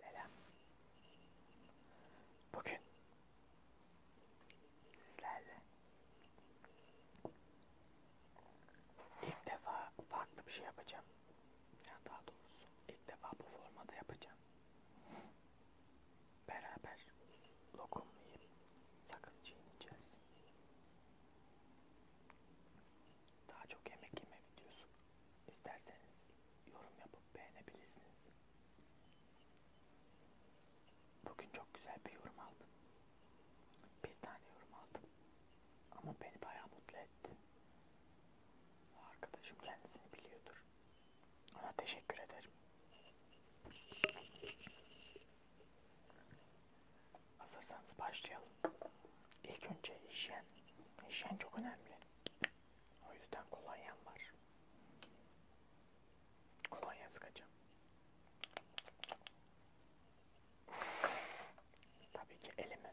Selam. Bugün sizlerle ilk defa farklı bir şey yapacağım. Yani daha doğrusu ilk defa bu formada yapacağım. Beraber lokum yiyip sakız çiğneyeceğiz. Daha çok yemek yeme videosu isterseniz yorum yapıp beğenebilirsiniz. Bugün çok güzel bir yorum aldım. Bir tane yorum aldım. Ama beni bayağı mutlu etti. Arkadaşım kendisini biliyordur. Ona teşekkür ederim. Hazırsanız başlayalım. İlk önce hijyen. Hijyen çok önemli. O yüzden kolonyam var. Kolonya sıkacağım. Tabii ki elimi.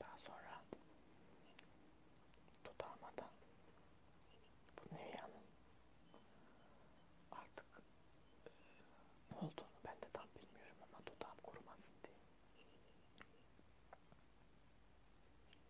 Daha sonra dudağıma da bu Nivea'nın artık e, ne olduğunu ben de tam bilmiyorum ama dudağım kurumasın diye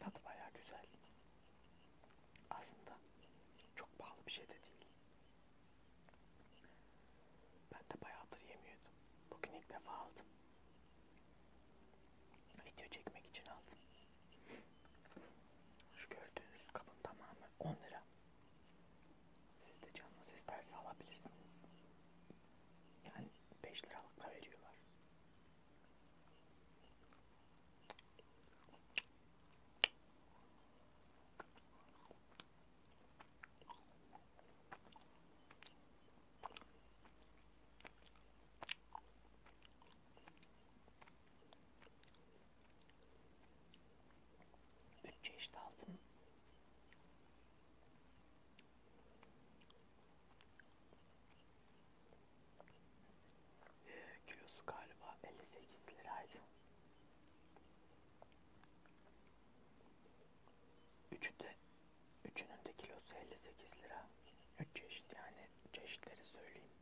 Tadı baya güzel. Aslında çok pahalı bir şey de değil. Ben de bayağıdır yemiyordum. Bugün ilk defa aldım. Video çekmek için aldım. Şu gördüğünüz kabın tamamı 10 lira. Siz de canınız isterse alabilirsiniz. Yani 5 liralık da veriyorlar. Bütçe işte altın ee, kilosu galiba 58 liraydı. Üçü de, üçünün de kilosu 58 lira. Üç çeşit yani çeşitleri söyleyeyim.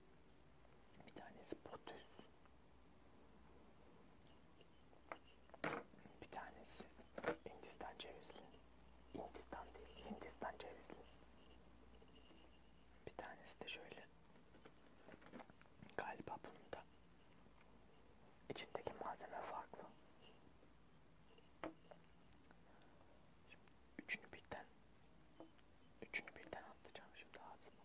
Bir tanesi potüs. Bir tanesi Hindistan cevizli. Hindistan değil, Hindistan cevizli. Bir tanesi de şöyle. Galiba bunun da içindeki malzeme farklı. Şimdi üçünü birden, üçünü birden atlayacağım şimdi ağzıma.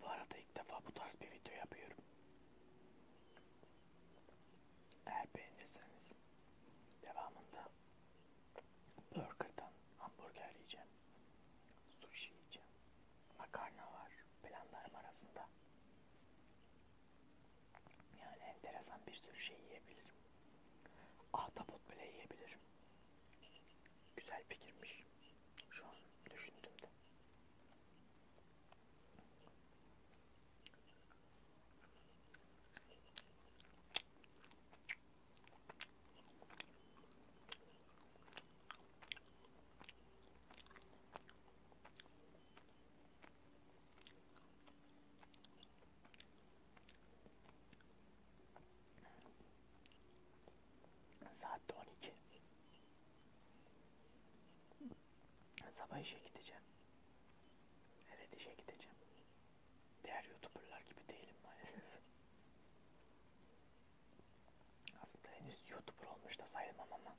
Bu arada ilk defa bu tarz bir video yapıyorum. Eğer beğenirseniz devamında Burger'dan hamburger yiyeceğim. Sushi yiyeceğim. Makarna var planlarım arasında. Yani enteresan bir sürü şey yiyebilirim. Ahtapot bile yiyebilirim. Güzel fikirmiş. Şu an düşündüğümde. Saat 12. Sabah işe gideceğim. Evet işe gideceğim diğer youtuberlar gibi değilim maalesef. Aslında henüz youtuber olmuş da sayılmam ama.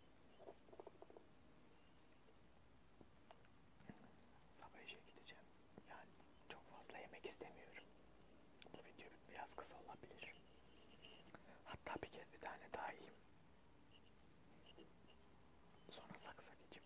Sabah işe gideceğim. Yani çok fazla yemek istemiyorum. Bu video biraz kısa olabilir. Hatta bir kez bir tane daha yiyeyim. Sonra saksa geçeyim.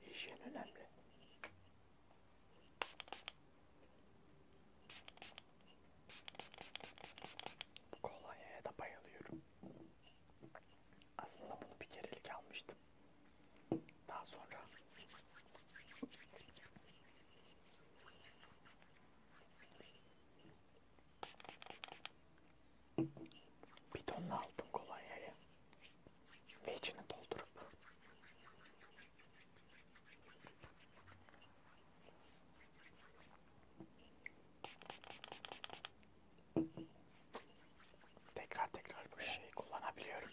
Hijyen önemli. Kolonyaya da bayılıyorum. Aslında bunu bir kerelik almıştım. Daha sonra Bidonla aldım kolonyayı ve içini doldurup tekrar tekrar bu şeyi kullanabiliyorum.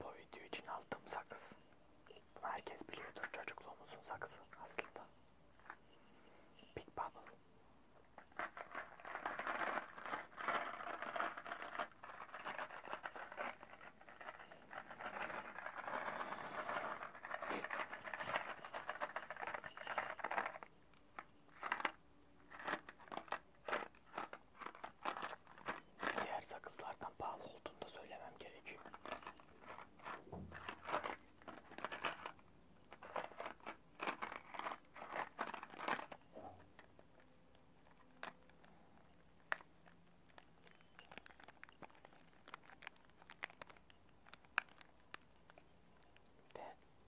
Bu video için aldığım sakız. Bunu herkes biliyordur çocukluğumuzun sakızı aslında. Big Bubble. Diğer sakızlardan pahalı olduğunu da söylemem gerekiyor.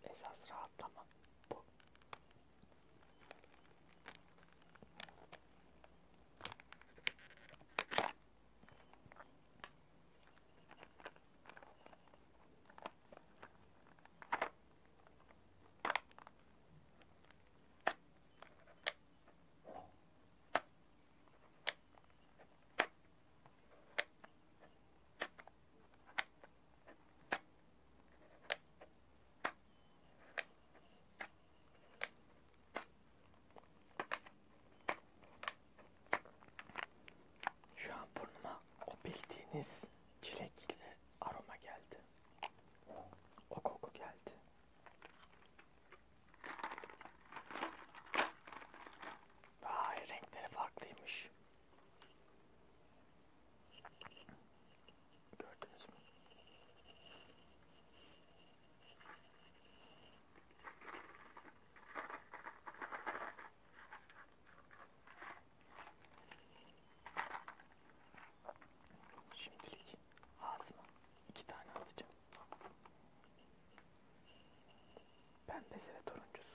Ve esas rahatlama bu. Şu an burnuma o bildiğiniz çilekli aroma geldi. O koku geldi. Vay renkleri farklıymış. Gördünüz mü? Şimdilik ağzıma iki tane atacağım. Pembesi ve turuncusu.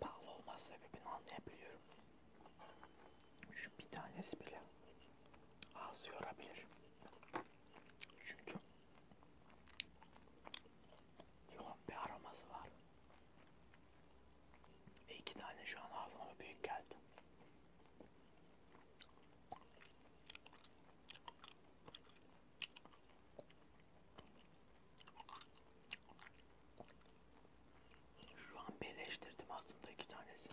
Pahalı olması sebebini anlayabiliyorum. Şu bir tanesi bile ağzı yorabilir. Çünkü yoğun bir aroması var. Ve iki tane şu an ağzıma büyük geldi. Şu an birleştirdim aslında iki tanesini.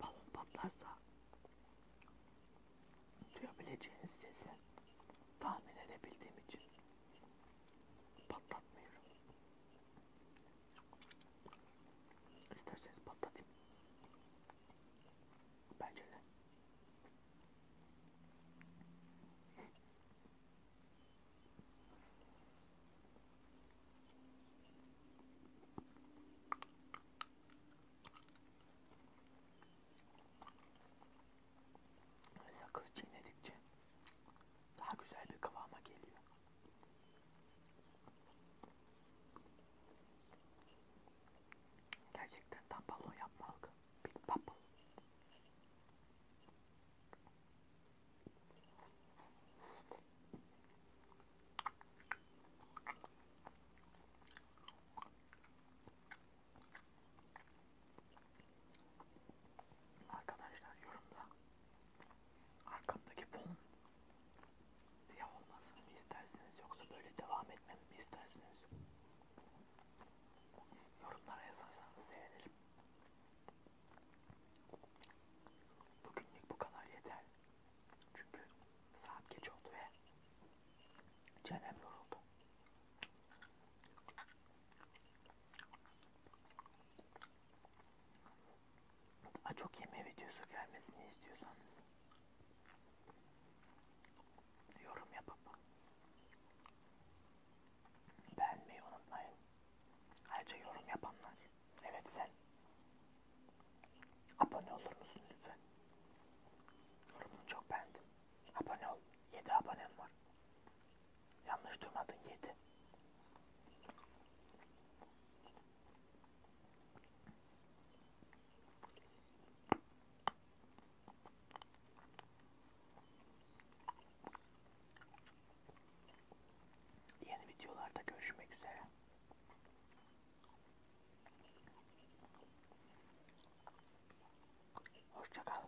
Balon patlarsa duyabileceğiniz sesi tahmin edebildiğim için patlatmıyorum. İsterseniz patlatayım. Bence de. Sakız çiğnedikçe daha güzel bir kıvama geliyor. Gerçekten tam balon yapmalık. Big Bubble. Arkadaşlar yorumda Arkamdaki fonun siyah olmasını mı istersiniz yoksa böyle devam etmemi mi istersiniz? Yorumlara yazarsanız sevinirim. Bugünlük bu kadar yeter. Çünkü saat geç oldu ve çenem yoruldu. Aa, çok yeme videosu gelmesini istiyorsanız yorum yapıp beğenmeyi unutmayın. Ayrıca yorum yapanlar, evet sen abone olur musun lütfen? Yorumunu çok beğendim. Abone ol. 7 abonem var. Yanlış duymadın 7. Yeni videolarda görüşmek üzere. Hoşça kal.